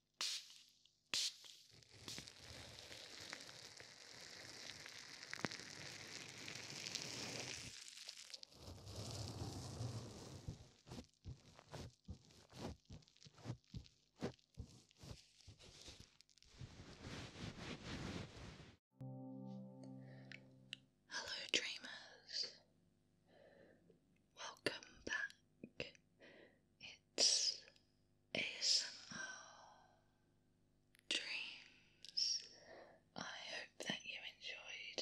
Hello, dreamers. Welcome back. It's ASMR Dreams. I hope that you enjoyed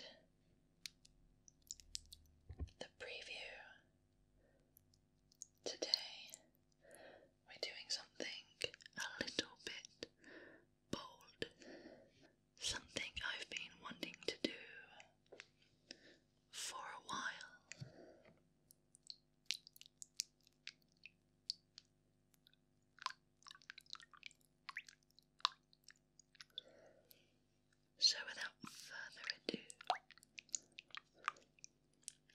the preview. Today we're doing something a little bit bold. Something I've been wanting to do for a while. So, without further ado,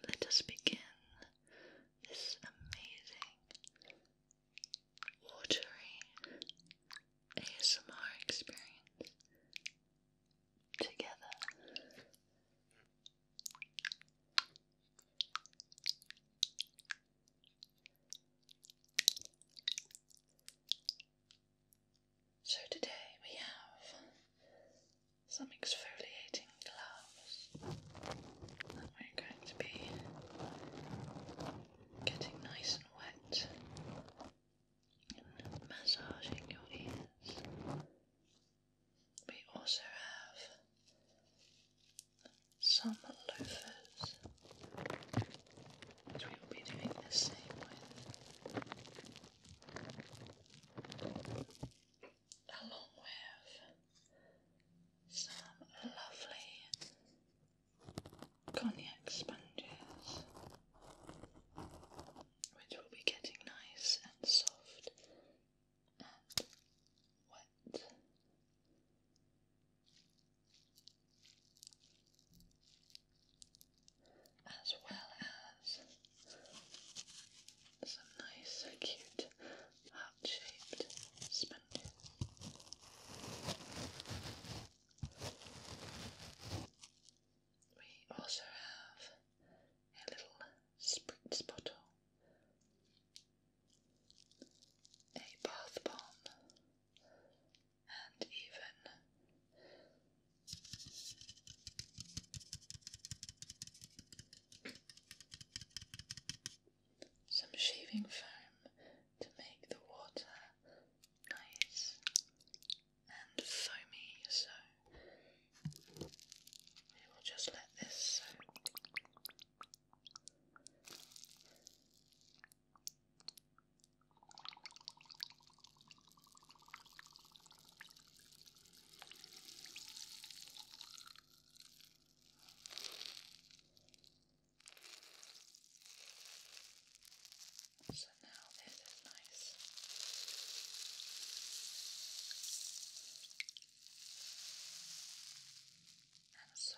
let us begin this amazing, watery ASMR experience together. So today we have some exfoliating gloves that we're going to be getting nice and wet massaging your ears. We also have some loafers, which we will be doing the same with, along with some lovely cognac sponges, which will be getting nice and soft and wet. As well as some nice, cute, heart shaped sponges. We also have a little spritz bottle, a bath bomb, and even some shaving foam to make the water nice and so me, so we will just let this so now this is nice. And soft.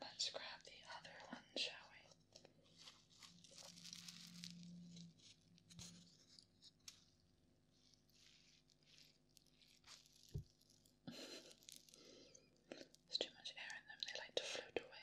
Let's grab the other one, shall we? There's too much air in them, they like to float away.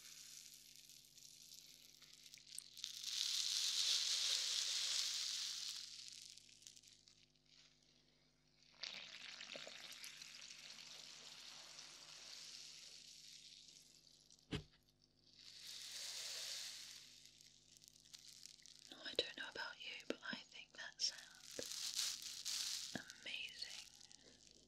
Now, oh, I don't know about you, but I think that sounds amazing.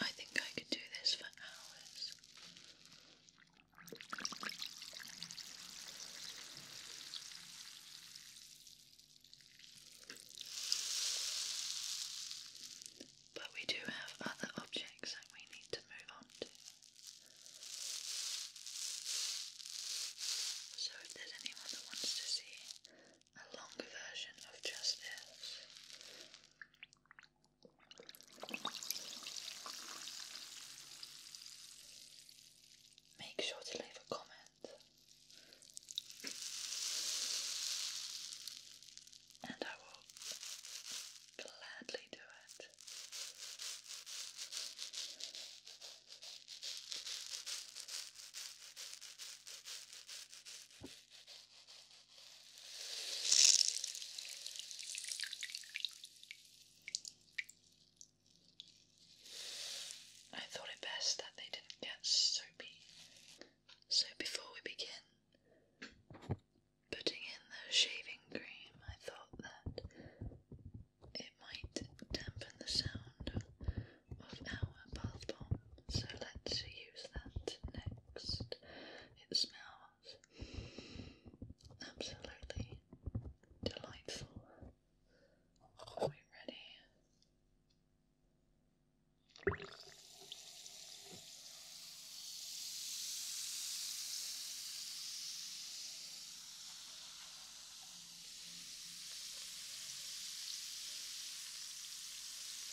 I think I could do this for hours. But we do have other objects that we need to move on to. So, if there's anyone that wants to see a longer version of just this, Make sure to leave a comment and I will gladly do it. I thought it best that they didn't get soapy. So before we begin putting in the shaving cream, I thought that it might dampen the sound of our bath bomb so let's use that next. It smells absolutely delightful. Are we ready?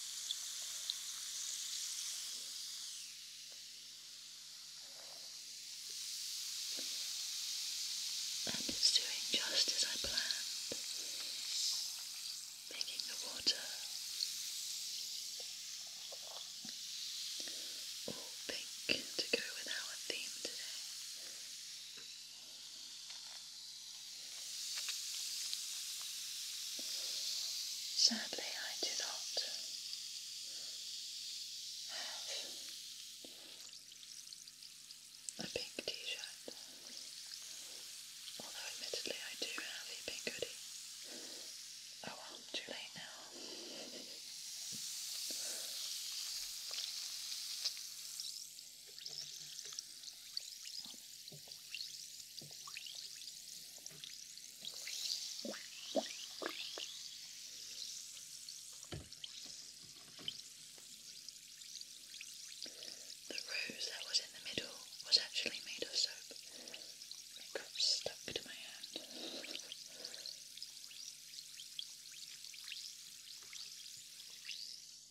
And it's doing just as I planned, making the water all pink to go with our theme today. Sadly, I do not have a pink t-shirt, although admittedly I do have a pink hoodie. Oh well, too late now. The rose that was in the middle was actually made of soap. It got stuck to my hand.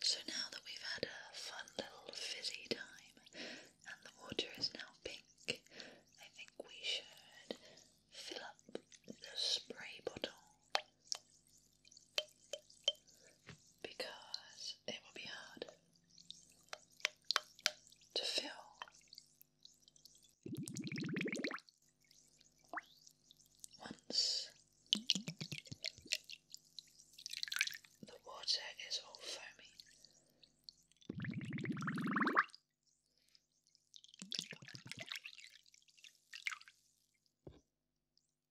So now that we've had a fun little fizzy time and the water is now pink, I think we should fill up the spray bottle because it will be hard to fill. Once the water is all foamy,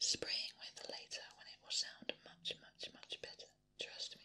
Spraying with later when it will sound much, much, much better, trust me.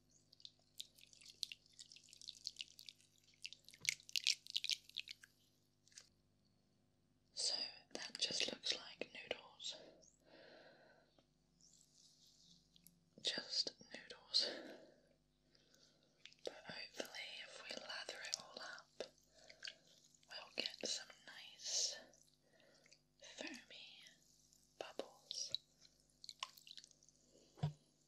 So that just looks like noodles. Just noodles. But hopefully, if we lather it all up, we'll get some nice foamy bubbles.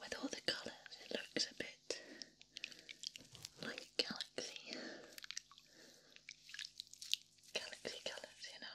With all the colours, it looks a bit like a galaxy galaxy colors, you know.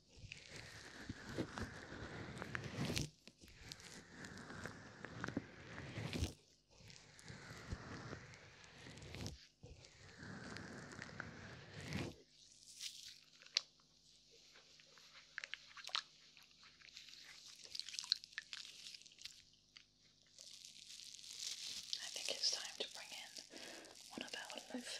I think it's time to bring in one of our loafers.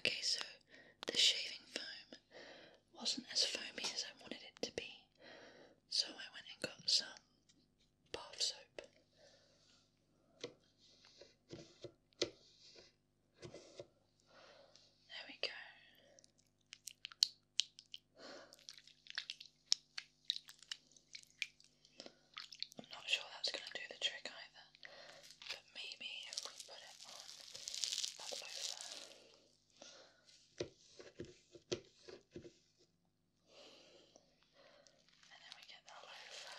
Okay, so the shaving foam wasn't as foamy as I wanted it to be, so I went and got some bath soap. There we go. I'm not sure that's going to do the trick either, but maybe if we put it on that sofa. And then we get that loafer.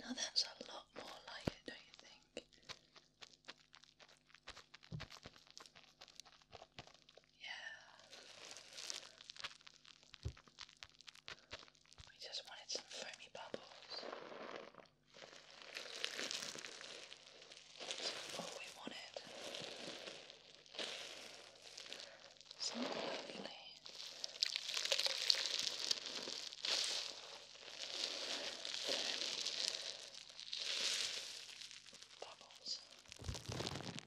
Now that's a lot more like it, don't you think? Yeah. We just wanted some foamy bubbles. That's all we wanted. Something lovely. Bubbles.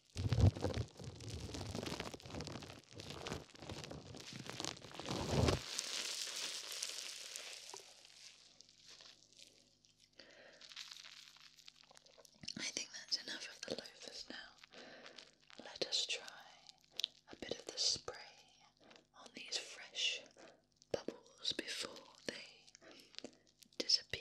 I think that's enough of the loafers now. Let us try a bit of the spray on these fresh bubbles before they disappear.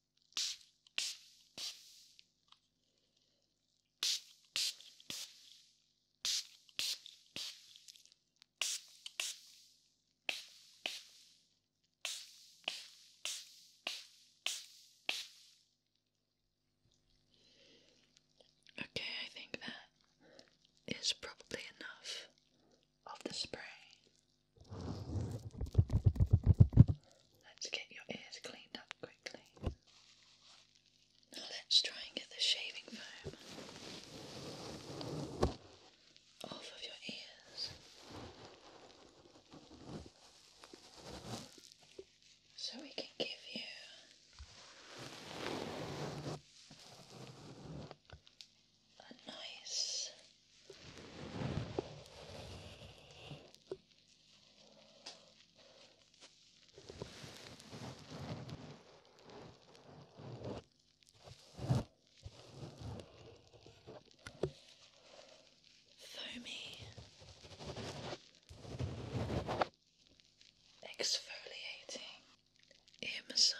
Okay, I think that is probably enough of the spray. Let's get your ears cleaned up quickly. Now let's try and get the shaving foam off of your ears. So we can give you a nice Foamy exfoliating ear massage.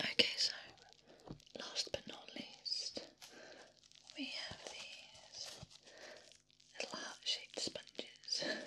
Okay, so last but not least, we have these little heart shaped sponges.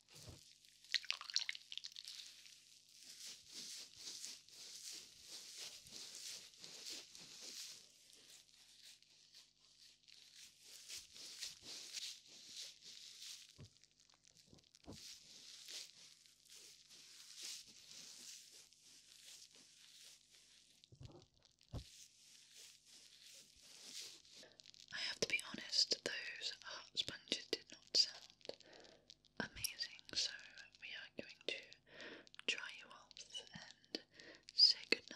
I have to be honest, those art sponges did not sound amazing. So we are going to dry you off and say goodnight.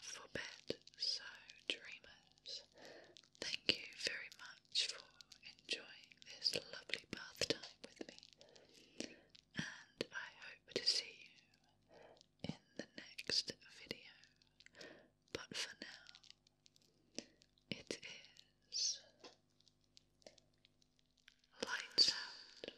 forbid. So, dreamers, thank you very much for enjoying this lovely bath time with me, and I hope to see you in the next video. But for now, it is lights out.